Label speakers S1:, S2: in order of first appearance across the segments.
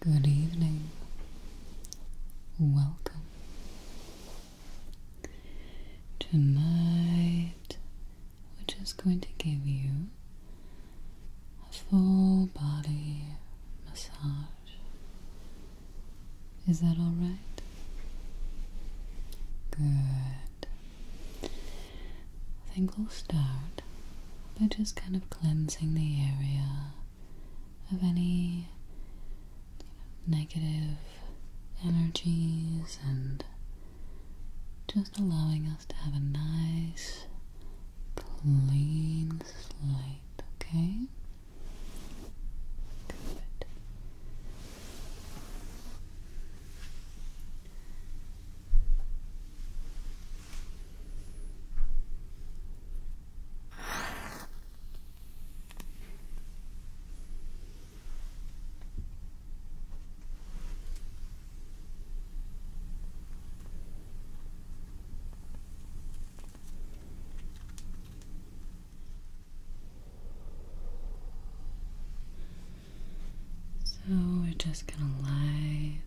S1: Good evening. Welcome. Tonight, we're just going to give you a full body massage. Is that alright? Good. I think we'll start by just kind of cleansing the area of any negative energies and just allowing us to have a nice clean slate, okay? Good. So we're just going to light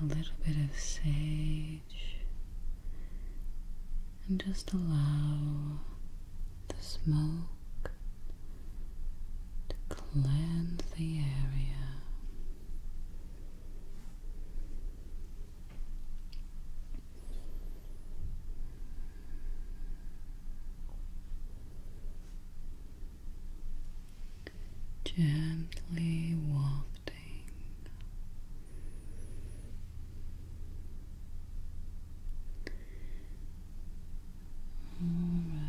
S1: a little bit of sage, and just allow the smoke to cleanse the area gently wafting all right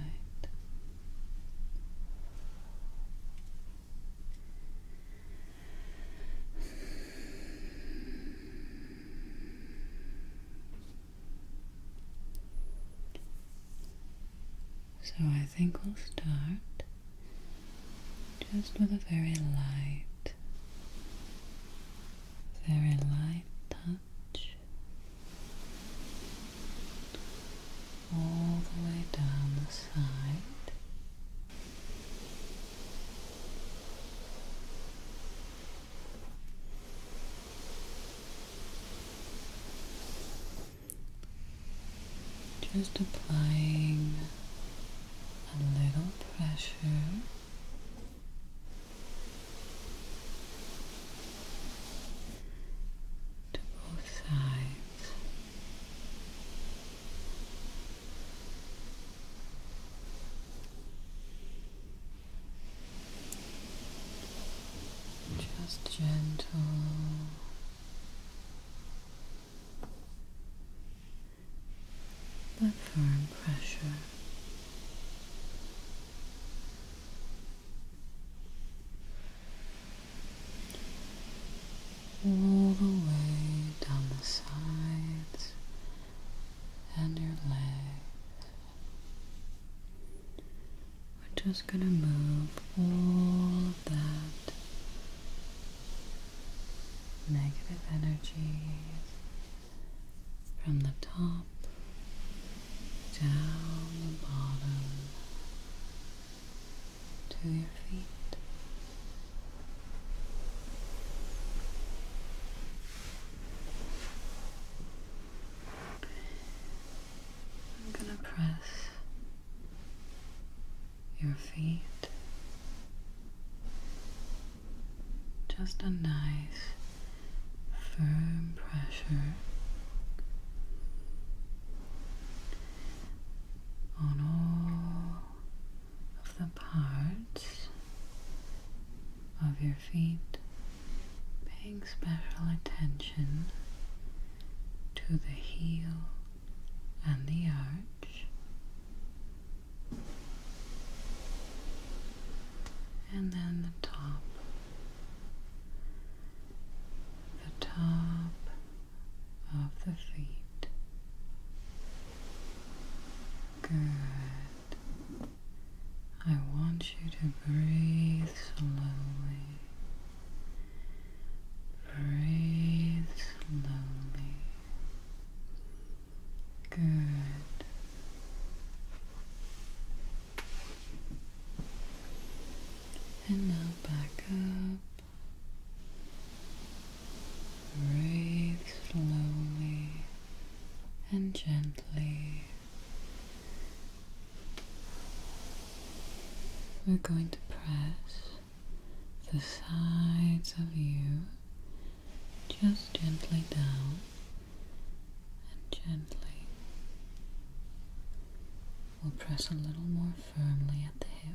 S1: so I think we'll start just with a very light, very light touch all the way down the side. Just applying a little pressure. To both sides, just gentle. But firm pressure. All the way down the sides and your legs. We're just going to move all that negative energy from the top down the bottom to your feet. I'm going to press your feet just a nice firm pressure on all of the parts of your feet paying special attention to the heel and the arch, and then the top, the top of the feet. Good. I want you to breathe slowly. Breathe slowly. Good. And now back up. Breathe slowly and gently. We're going to press the sides of you just gently down and gently. We'll press a little more firmly at the hip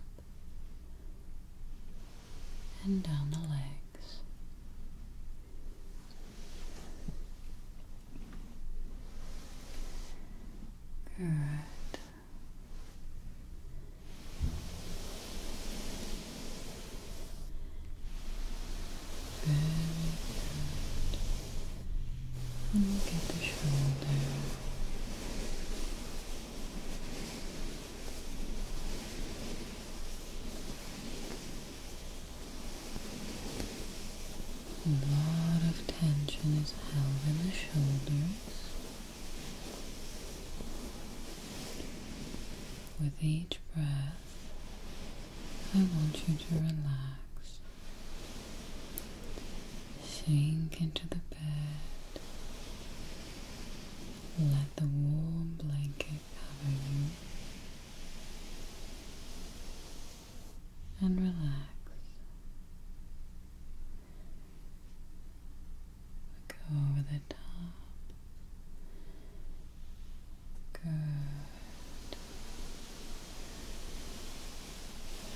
S1: and down the legs. Good. Very good. And look at the shoulder. A lot of tension is held in the shoulders. With each breath, I want you to relax. Sink into the bed. Let the warm blanket cover you and relax. Go over the top. Good.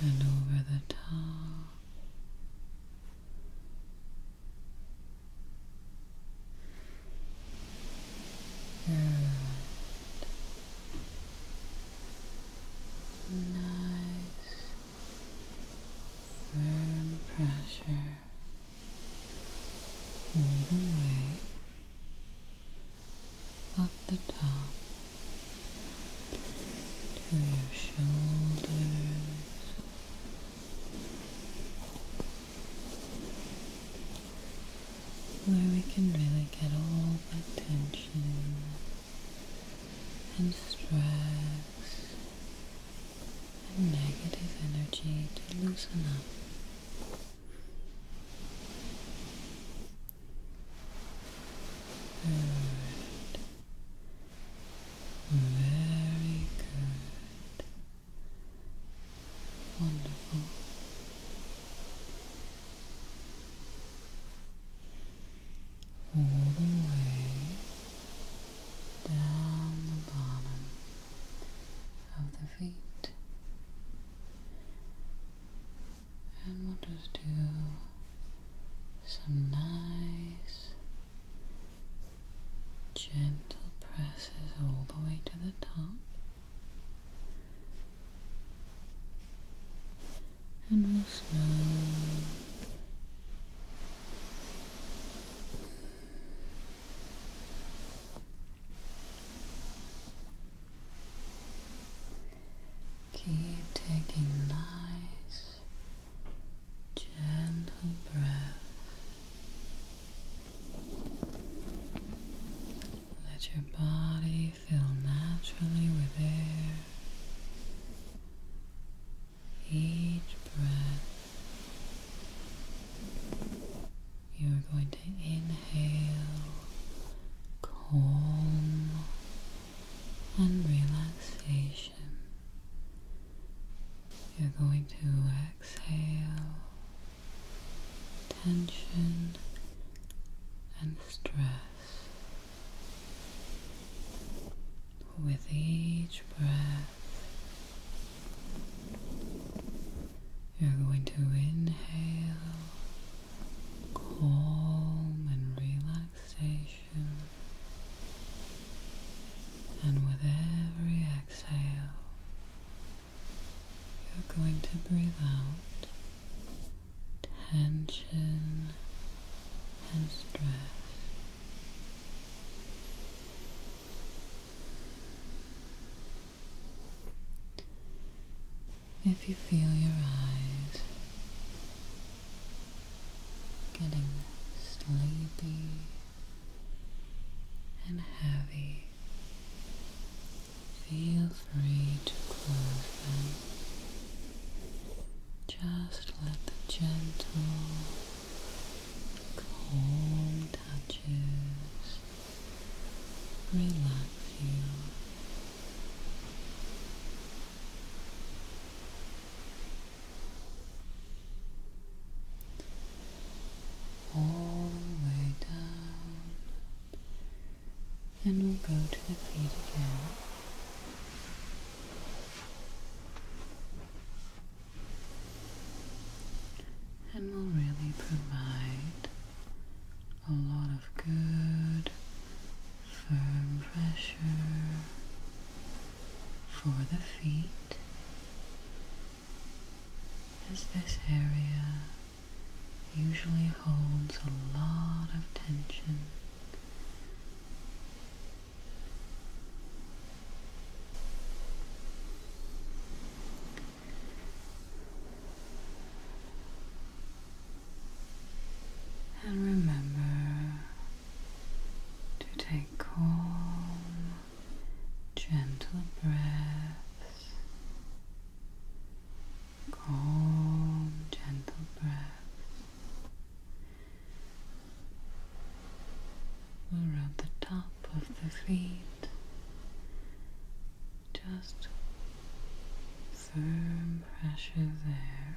S1: And over the top. Good. Nice firm pressure all the way up the top to your shoulders where we can really get all the tension and stress and negative energy to loosen up. Good. Very good. Wonderful all the way down the bottom of the feet. And we'll just do some nice gentle presses all the way to the top and we'll slowly keep taking nice gentle breath let your body fill naturally with air. Each breath, you're going to inhale calm and relaxation. You're going to exhale tension and stress. With each breath, you're going to inhale calm and relaxation, and with every exhale, you're going to breathe out tension and stress. If you feel your eyes getting sleepy and heavy, Feel free to close them. Just let the gentle, calm touches relax you all the way down. And we'll go to the feet again. And we will really provide a lot of good, firm pressure for the feet as this area usually holds a lot of tension. And remember to take calm, gentle breaths, calm, gentle breaths. we are at the top of the feet, just firm pressure there.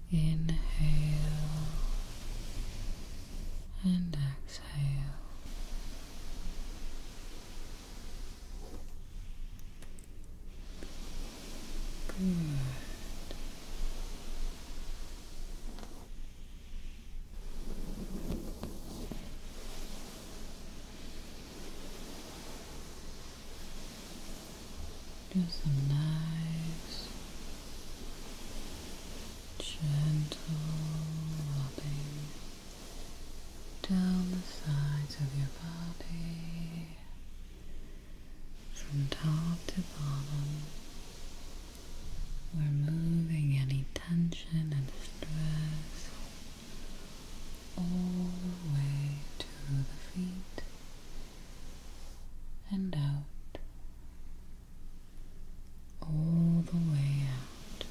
S1: Inhale and exhale. Good. Do some nice gentle rubbing down the sides of your body from top to bottom. We're moving any tension and stress all the way to the feet and out, all the way out,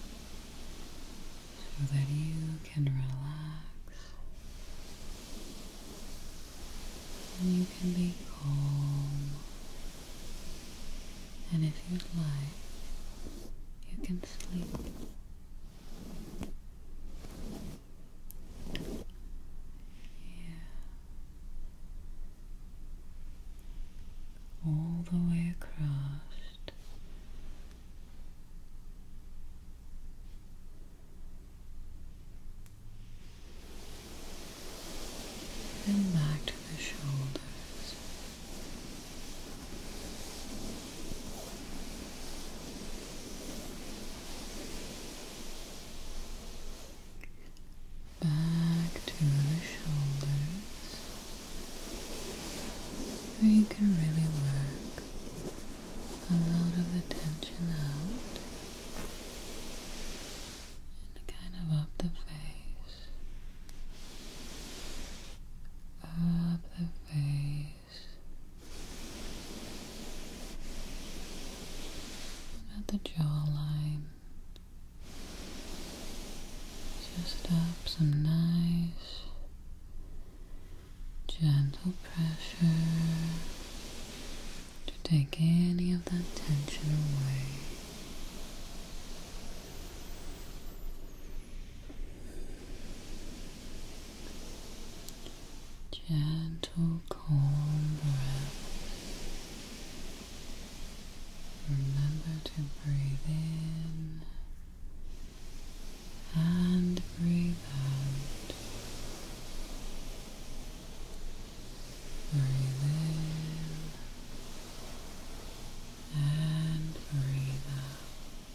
S1: so that you can relax and you can be calm. And if you'd like, you can sleep. Yeah. All the way across. And back to the shoulders back to the shoulders where you can really work a lot of the tension out and kind of up the face up the face at the jawline, just up some nice gentle pressure to take any of that tension away. Gentle, calm breath. Remember to breathe in and breathe out. Breathe in and breathe out.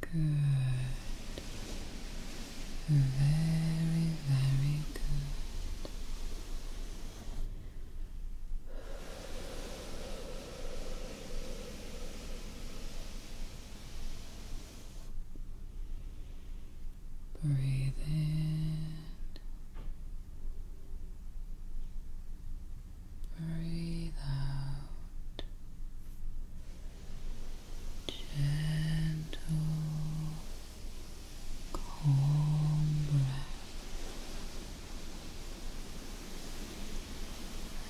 S1: Good. Very, very good. Breathe in. Breathe out gentle, calm breath,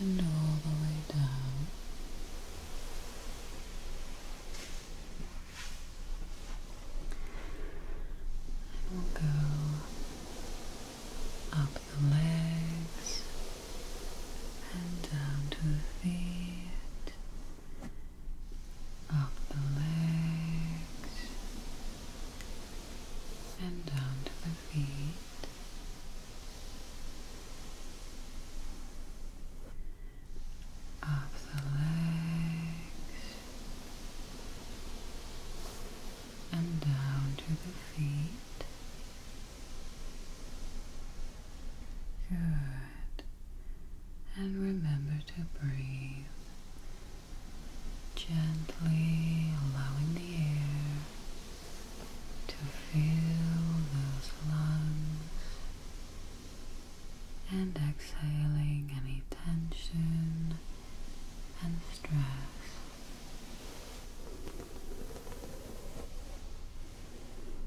S1: and all the way down. we'll go up the legs and down to the feet, up the legs, and down to the feet. Up the legs and down to the feet, Good. And remember to breathe. Gently allowing the air to fill those lungs and exhaling any tension and stress.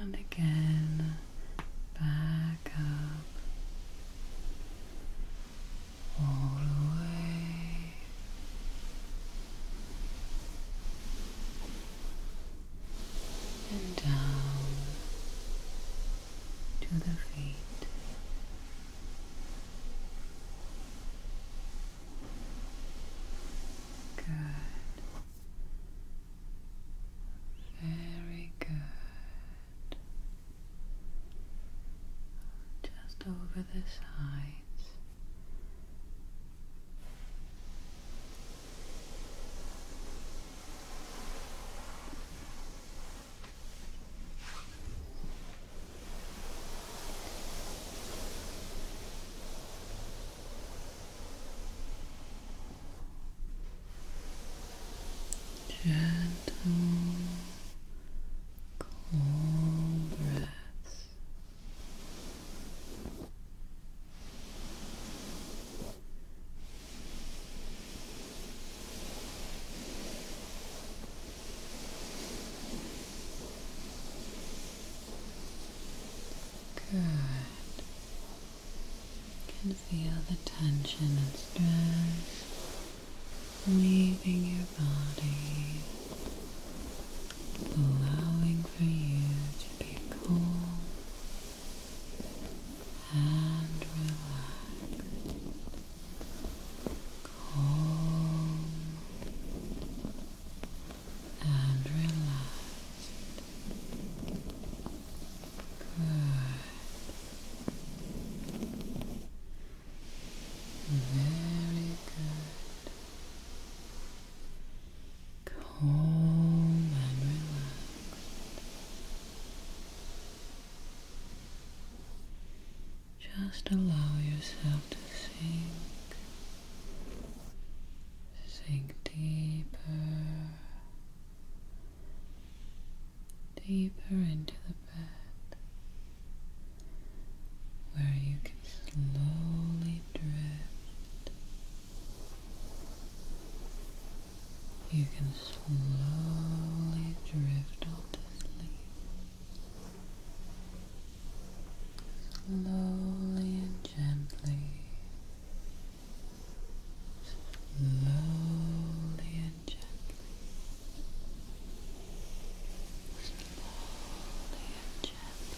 S1: and again back up all the way and down to the feet. Good. Very good. Just over the sides. Gentle, calm breaths. Good. You can feel the tension and stress leaving your body, allowing for you to be cool and relaxed. Calm and relax. Good. Very good. Calm and relaxed. Just allow yourself to sink sink deeper, deeper into the bed, where you can slowly drift. You can slowly drift off to sleep, slowly and gently slowly and gently, slowly and gently.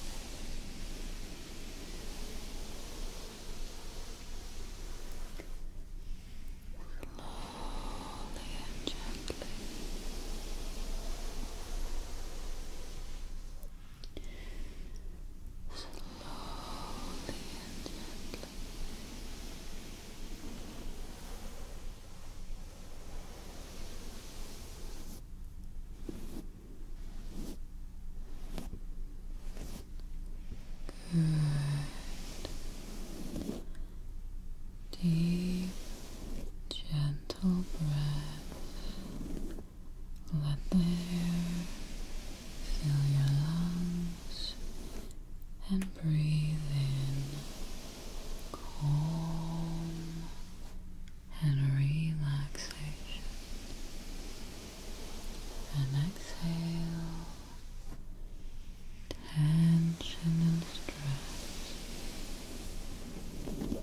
S1: Slowly and gently slowly and gently. Good. Deep, gentle breath. Let the air fill your lungs and breathe in calm and relaxation. And exhale tension and stress.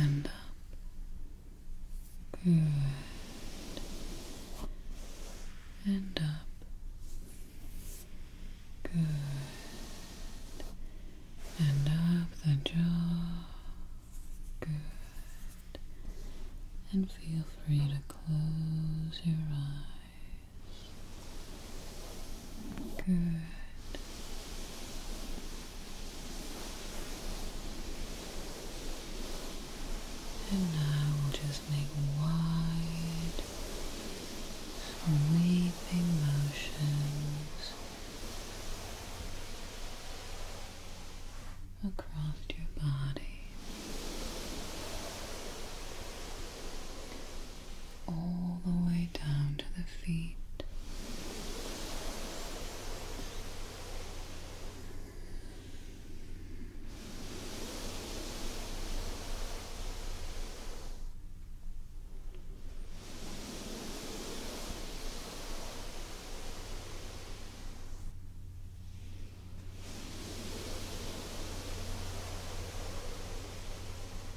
S1: and up. Uh, good. And up. Good. And up the jaw. Good. And feel free to close your eyes. Good. And now we'll just make wide, sweeping motions across your body all the way down to the feet.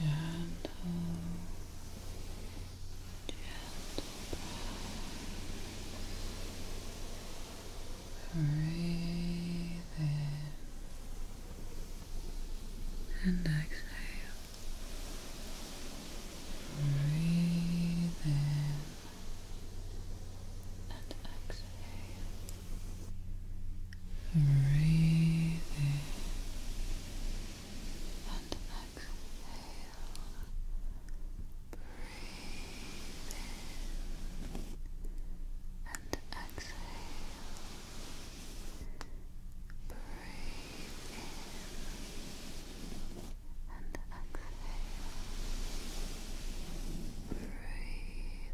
S1: Gentle, gentle Breathe in and exhale. Breathe in and exhale. Breathe in and exhale. Breathe in and exhale. Breathe in and exhale. Breathe in and exhale.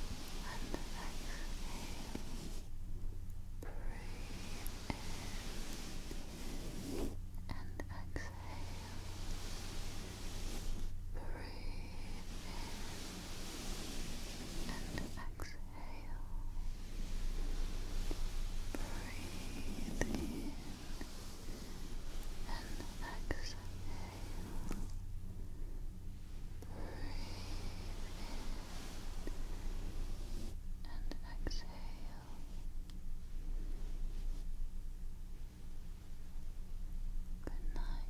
S1: Breathe in and exhale. Breathe in and exhale. Breathe in and exhale in and exhale. Good night.